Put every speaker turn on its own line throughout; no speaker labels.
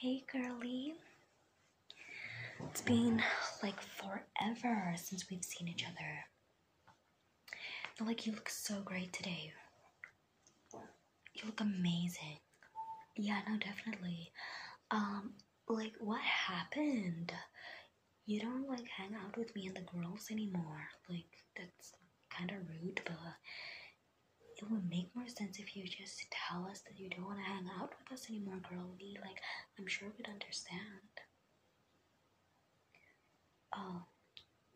Hey girlie. It's been like forever since we've seen each other. like you look so great today. You look amazing. Yeah, no, definitely. Um, like what happened? You don't like hang out with me and the girls anymore. Like that's kind of rude, but it would make more sense if you just tell us that you don't want to hang out with us anymore, girlie. Like, I'm sure we'd understand. Oh,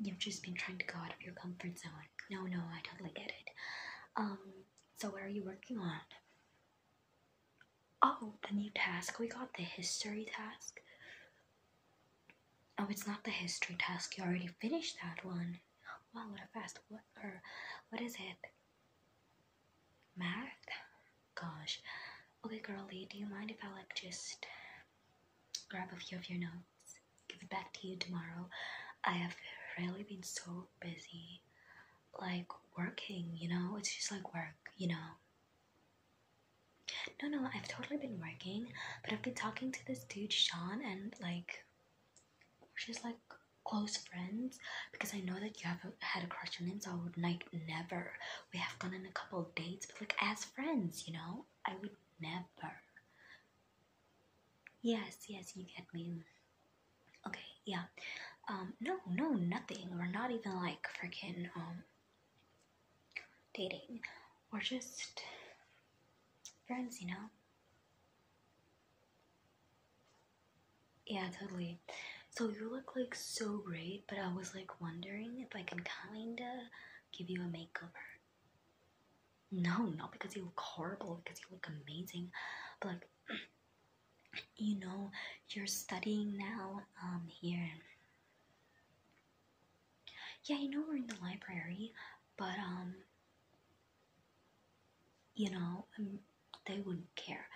you've just been trying to go out of your comfort zone. No, no, I totally get it. Um, so what are you working on? Oh, the new task we got, the history task. Oh, it's not the history task. You already finished that one. Wow, what a fast what or what is it? Math? Gosh. Okay, girlie, do you mind if I like just grab a few of your notes? Give it back to you tomorrow. I have really been so busy, like working. You know, it's just like work. You know. No, no, I've totally been working, but I've been talking to this dude Sean, and like, we're just like close friends because I know that you have a, had a crush on him, so I would like never. We have gone on a couple of dates, but like as friends, you know, I would never. Yes, yes, you get me. Okay, yeah. Um, no, no, nothing. We're not even like freaking um dating. We're just friends, you know. Yeah, totally. So you look like so great, but I was like wondering if I can kinda give you a makeover. No, not because you look horrible, because you look amazing, but like you know, you're studying now, um, here. Yeah, you know we're in the library, but um you know, um, they wouldn't care.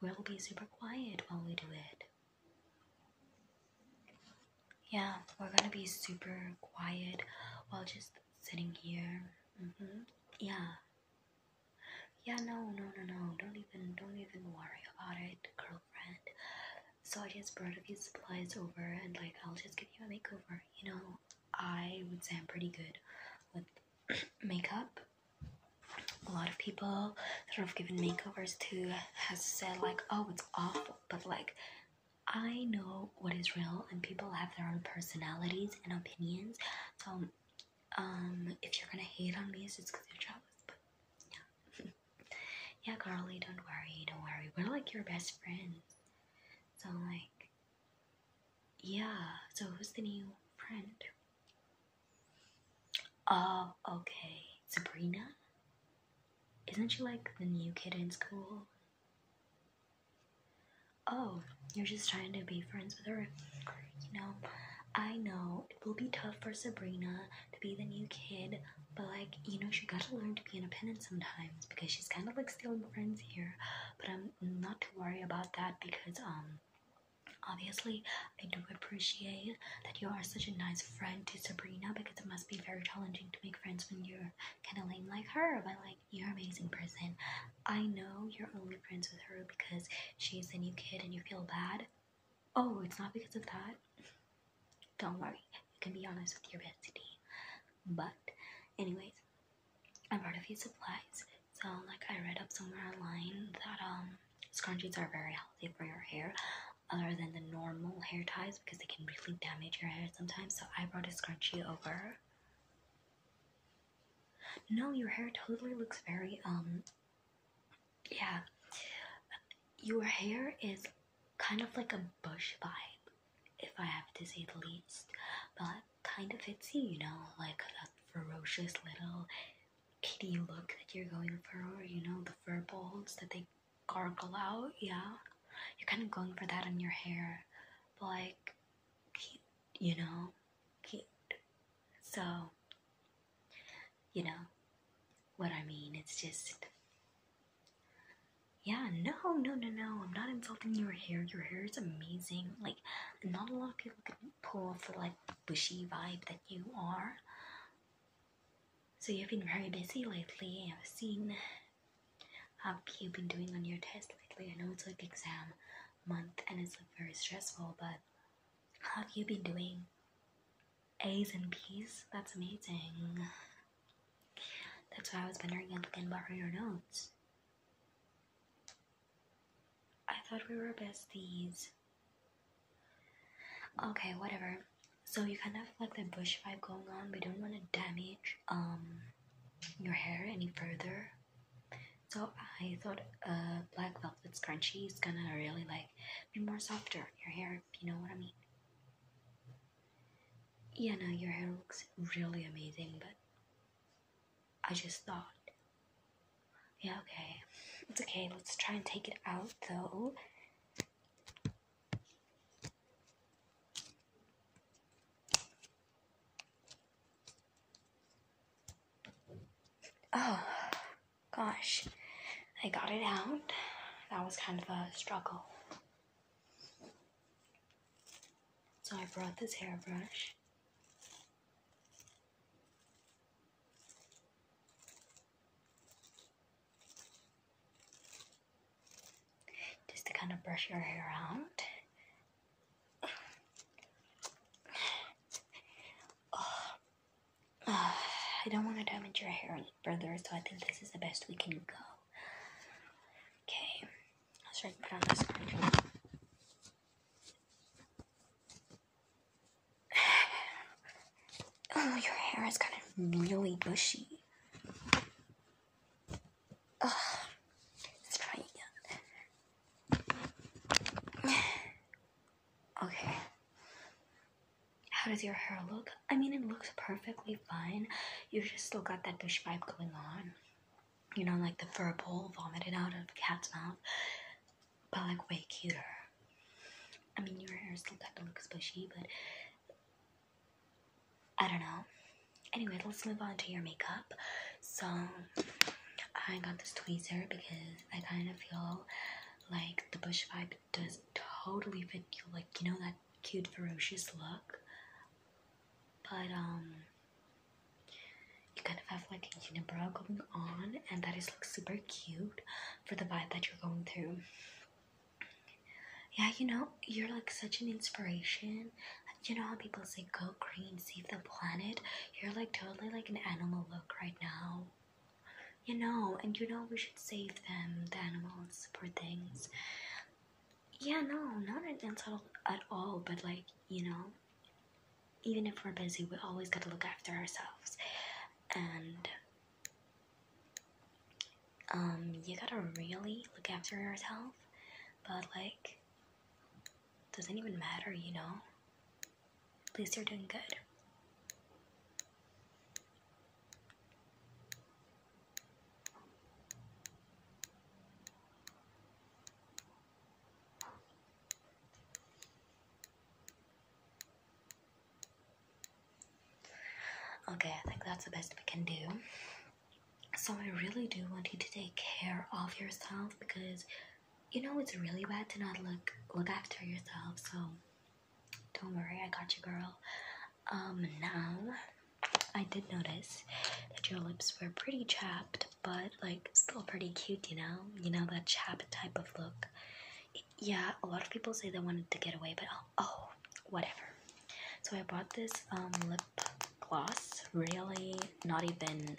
We'll be super quiet while we do it. Yeah, we're gonna be super quiet while just sitting here. Mm-hmm. Yeah. Yeah, no, no, no, no. Don't even, don't even worry about it, girlfriend. So I just brought a few supplies over, and like, I'll just give you a makeover, you know. I would say I'm pretty good with makeup. A lot of people that I've given makeovers to has said like, "Oh, it's awful," but like, I know what is real, and people have their own personalities and opinions. So, um, if you're gonna hate on me, it's just because you're jealous. But yeah, yeah, Carly, don't worry, don't worry. We're like your best friends. So like, yeah, so who's the new friend? Oh, okay. Sabrina? Isn't she like the new kid in school? Oh, you're just trying to be friends with her. You know, I know it will be tough for Sabrina to be the new kid, but like, you know, she gotta learn to be independent sometimes because she's kind of like still friends here, but I'm not to worry about that because um obviously I do appreciate that you are such a nice friend to Sabrina because it must be very challenging to make friends when you're kinda lame like her, but like you're amazing person. I know you're only friends with her because she's a new kid and you feel bad. Oh, it's not because of that. Don't worry, you can be honest with your bestie. But anyways, i brought a few supplies. So, like, I read up somewhere online that um, scrunchies are very healthy for your hair, other than the normal hair ties because they can really damage your hair sometimes. So, I brought a scrunchie over. No, your hair totally looks very um, yeah. Your hair is kind of like a bush vibe if I have to say the least. But kind of fits you, you know, like that ferocious little kitty look that you're going for, you know, the fur balls that they gargle out, yeah. You're kind of going for that in your hair, but like, cute, you know, cute. So, you know, what I mean, it's just yeah, no, no, no, no. I'm not insulting your hair. Your hair is amazing. Like, not a lot of people can pull off the like bushy vibe that you are. So you've been very busy lately. I've seen how you've been doing on your test lately. I know it's like exam month and it's like very stressful, but how have you been doing? A's and B's? That's amazing. That's why I was wondering if I can your notes. I thought we were besties. Okay, whatever. So you kind of like the bush vibe going on. We don't want to damage um your hair any further. So I thought uh black velvet scrunchie is gonna really like be more softer on your hair. you know what I mean. Yeah, no, your hair looks really amazing, but I just thought. Yeah, okay. It's okay. Let's try and take it out, though. Oh, gosh. I got it out. That was kind of a struggle. So I brought this hairbrush. Just to kind of brush your hair out. I don't want to damage your hair Brother, so I think this is the best we can go. Okay, let's write down this card. Oh, your hair is kind of really bushy. Ugh. Let's try again. okay. How does your hair look? I mean, it looks perfectly fine you just still got that douche vibe going on. You know, like the fur ball vomited out of cat's mouth, but like way cuter. I mean, your hair still got the looks bushy, but I don't know. Anyway, let's move on to your makeup. So, I got this tweezers because I kind of feel like the bush vibe does totally fit you. Like, you know, that cute, ferocious look, but um, you kind of have like a unibrow going on, and that is like super cute for the vibe that you're going through. Yeah, you know, you're like such an inspiration. You know how people say go green, save the planet? You're like totally like an animal look right now. You know, and you know we should save them, the animals, poor things. Yeah, no, not an insult at all, but like, you know, even if we're busy, we always gotta look after ourselves. And um you gotta really look after yourself. But like doesn't even matter, you know? At least you're doing good. Okay, I think that's the best we can do. So I really do want you to take care of yourself because you know it's really bad to not look look after yourself. So don't worry, I got you, girl. Um, now I did notice that your lips were pretty chapped, but like still pretty cute, you know? You know, that chapped type of look. yeah, a lot of people say they wanted to get away, but oh, oh whatever. So I bought this um, lip gloss, really not even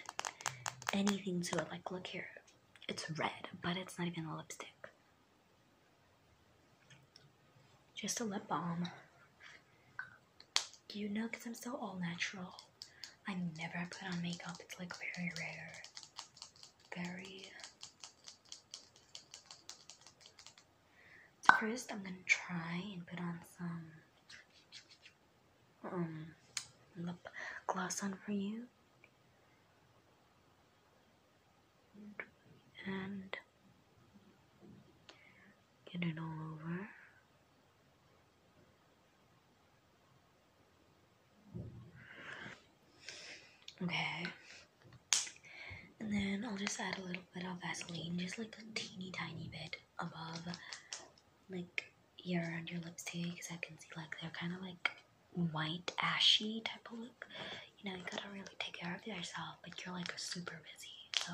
anything to it. Like, look here, it's red, but it's not even a lipstick. Just a lip balm. You know, because I'm so all natural. I never put on makeup. It's like very rare. Very. first, I'm gonna try and put on some um, lip gloss on for you. And Get it all over. Okay. And then I'll just add a little bit of Vaseline, just like a teeny tiny bit above, like here around your lips too, because I can see like they're kind of like white ashy type of look you know, you gotta really take care of yourself, but you're like super busy, so.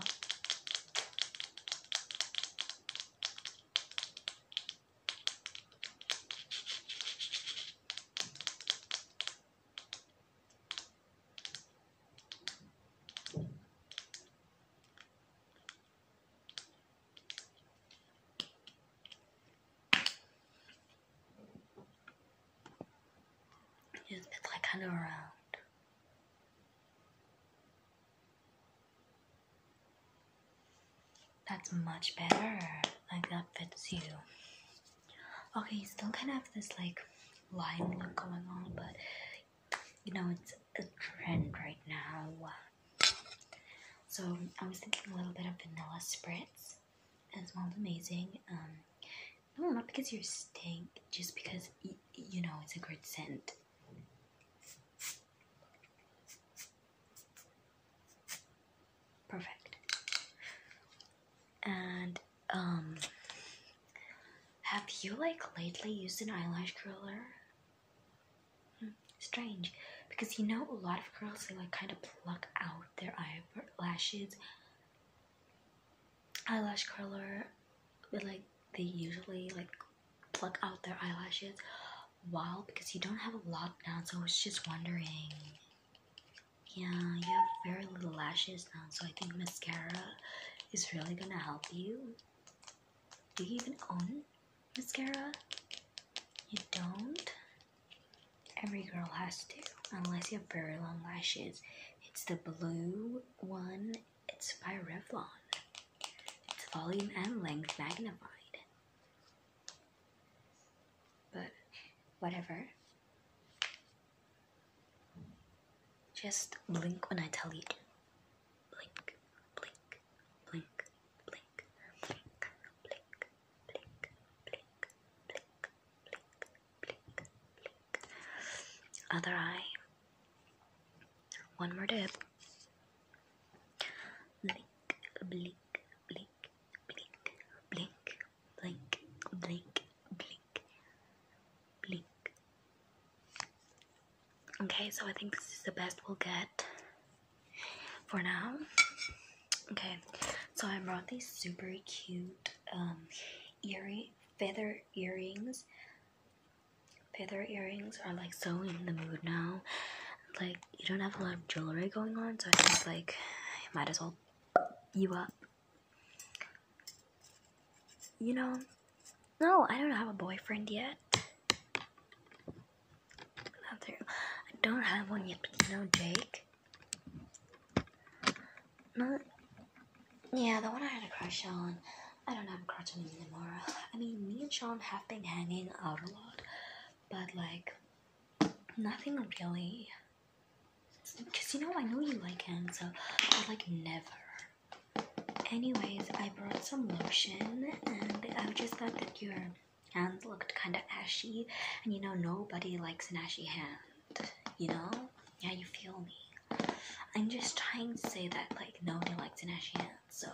Just like kind of around. That's much better. Like that fits you. Okay, still kind of have this like line look going on, but you know it's a trend right now. So I was thinking a little bit of vanilla spritz as smells amazing. Um, no, not because you're stink, just because you know it's a good scent. Perfect. And um, have you like lately used an eyelash curler? Hmm, strange, because you know a lot of girls they like kind of pluck out their eyelashes eyelash curler but like they usually like pluck out their eyelashes while because you don't have a lot now so I was just wondering yeah you have very little lashes now so I think mascara is really gonna help you do you even own mascara you don't Every girl has to, unless you have very long lashes. It's the blue one, it's by Revlon. It's volume and length magnified. But whatever. Just blink when I tell you to. Blink, blink, blink, blink, blink, blink, blink, blink, blink, blink, blink, blink. Other eye. One more dip. Blink, blink, blink, blink, blink, blink, blink, blink, blink. Okay, so I think this is the best we'll get for now. Okay, so I brought these super cute um, earring, feather earrings. Feather earrings are like so in the mood now. Like, you don't have a lot of jewelry going on, so I just like, might as well you up. You know, no, I don't have a boyfriend yet. I don't have one yet, but you know, Jake. Not, yeah, the one I had a crush on. I don't have a crush on him anymore. I mean, me and Sean have been hanging out a lot, but like, nothing really. Because you know, I know you like him, so I like never. Anyways, I brought some lotion, and I just thought that your hands looked kind of ashy, and you know, nobody likes an ashy hand you know? Yeah, you feel me. I'm just trying to say that, like, no one likes an ashy So,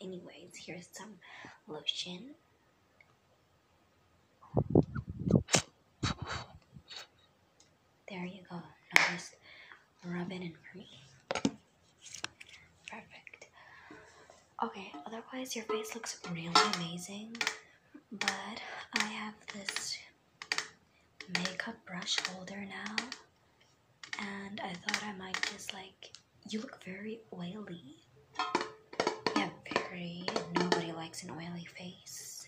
anyways, here's some lotion. There you go. Now just rub it in for me. Perfect. Okay, otherwise your face looks really amazing. But I have this makeup brush holder now, and I thought I might just like. You look very oily. Yeah, very. Nobody likes an oily face.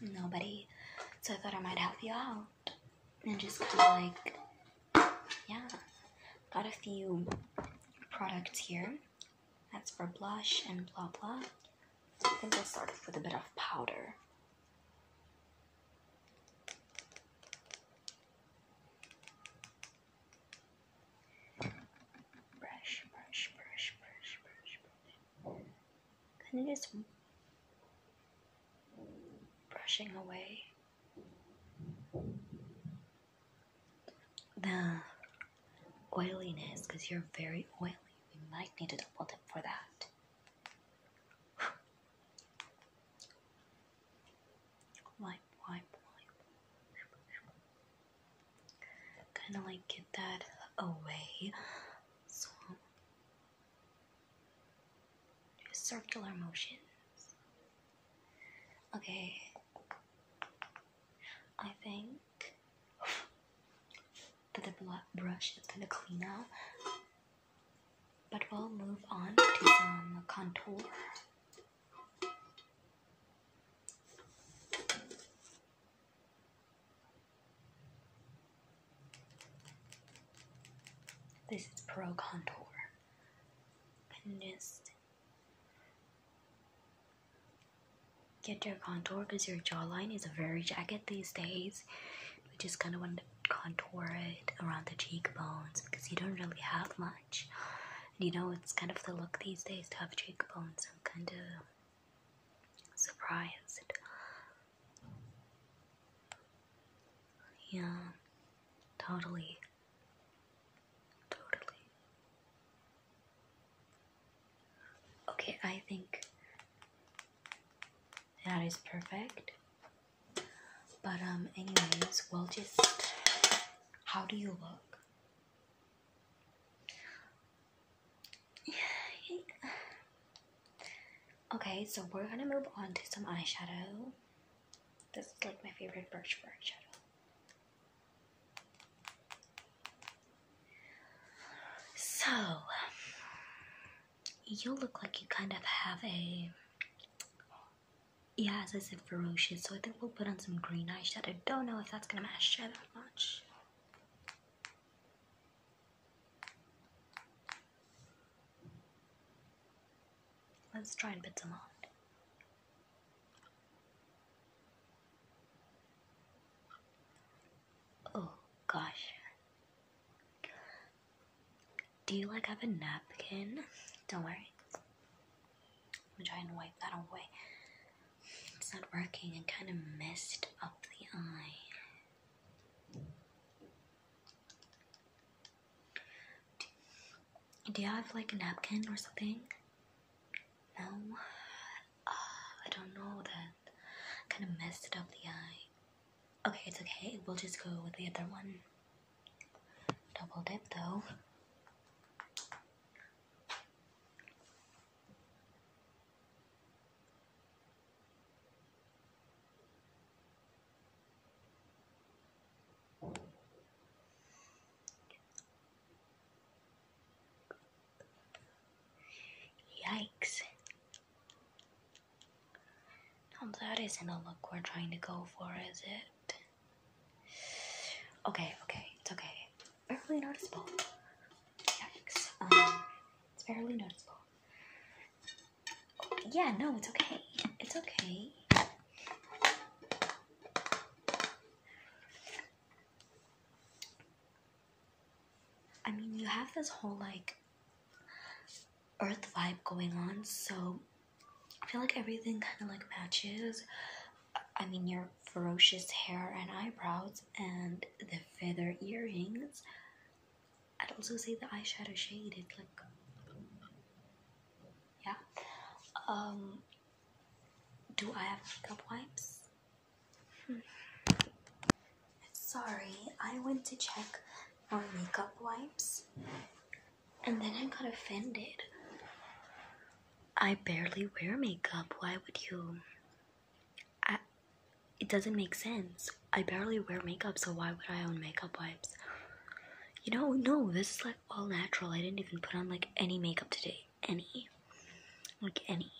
Nobody. So I thought I might help you out. And just kind of like. Yeah. Got a few products here. That's for blush and blah blah. I think i will start with a bit of powder. Brush, brush, brush, brush, brush, brush. Kind of brushing away the oiliness because you're very oily. We might need a double tip for that. wipe, wipe, wipe. Kind of like get that away. So, circular motions. Okay. I think the brush is gonna clean up. But we'll move on to the contour. This is Pro Contour. just Get your contour because your jawline is a very jagged these days. We just kind of want to contour it around the cheekbones because you don't really have much. you know, it's kind of the look these days to have cheekbones. I'm kind of surprised. Yeah, totally. Totally. Okay, I think that is perfect. But um anyways, we'll just how do you look? okay, so we're gonna move on to some eyeshadow. This is like my favorite brush for eyeshadow. So, you look like you kind of have a. Yeah, as I said, ferocious. So I think we'll put on some green eyeshadow. I Don't know if that's gonna match that much. Let's try and put some on. Oh gosh. Do you like have a napkin? Don't worry. I'm trying to wipe that away. It's not working. I kind of messed up the eye. Do you have like a napkin or something? No, uh, I don't know that. Kind of messed up the eye. Okay, it's okay. We'll just go with the other one. Double dip though. Yikes. that isn't a look we're trying to go for, is it? Okay, okay, it's okay. Barely noticeable. Yikes. Um, it's barely noticeable. Yeah, no, it's okay. It's okay. I mean, you have this whole like earth vibe going on, so I feel like everything kind of like matches. I mean, your ferocious hair and eyebrows, and the feather earrings. I'd also say the eyeshadow shade. It's like, yeah. Um, do I have makeup wipes? Hmm. Sorry, I went to check for makeup wipes and then I got offended. I barely wear makeup. Why would you? it doesn't make sense. I barely wear makeup, so why would I own makeup wipes? You know, no, this is like all natural. I didn't even put on like any makeup today any. Like any.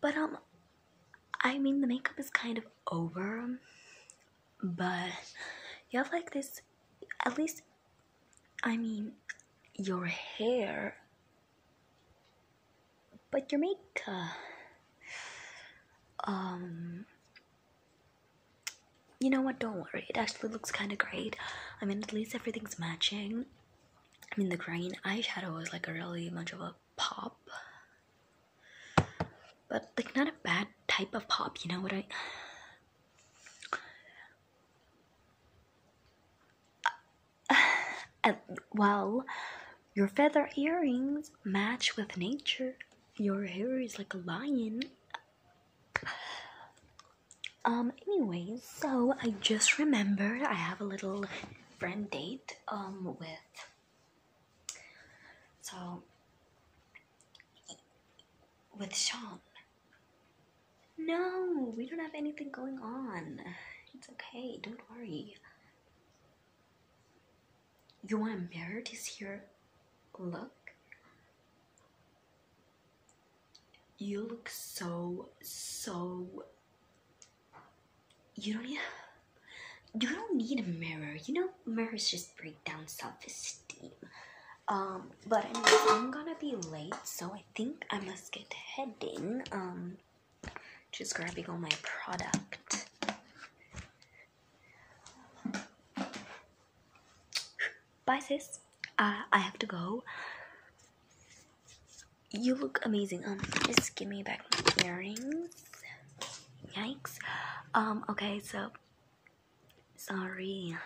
But, um, I mean, the makeup is kind of over, but you have like this, at least, I mean, your hair, but your makeup. Um, you know what, don't worry, it actually looks kind of great. I mean, at least everything's matching. I mean, the green eyeshadow is like a really much of a pop, but like not a bad type of pop, you know what I. well, your feather earrings match with nature. Your hair is like a lion. Um, anyways, so I just remembered I have a little friend date, um, with. So. With Sean. No, we don't have anything going on. It's okay, don't worry. You want a mirror to see look? You look so, so. You don't need. You don't need a mirror. You know, mirrors just break down self-esteem. Um, but I'm gonna be late, so I think I must get heading. Um, just grabbing all my product. Bye, sis. Uh, I have to go. You look amazing. Um, just give me back my earrings. Yikes. Um, okay, so. Sorry.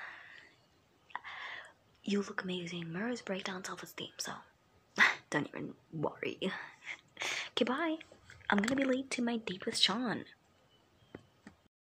You look amazing. Mirrors break down self esteem, so don't even worry. Goodbye. I'm gonna be late to my date with Sean.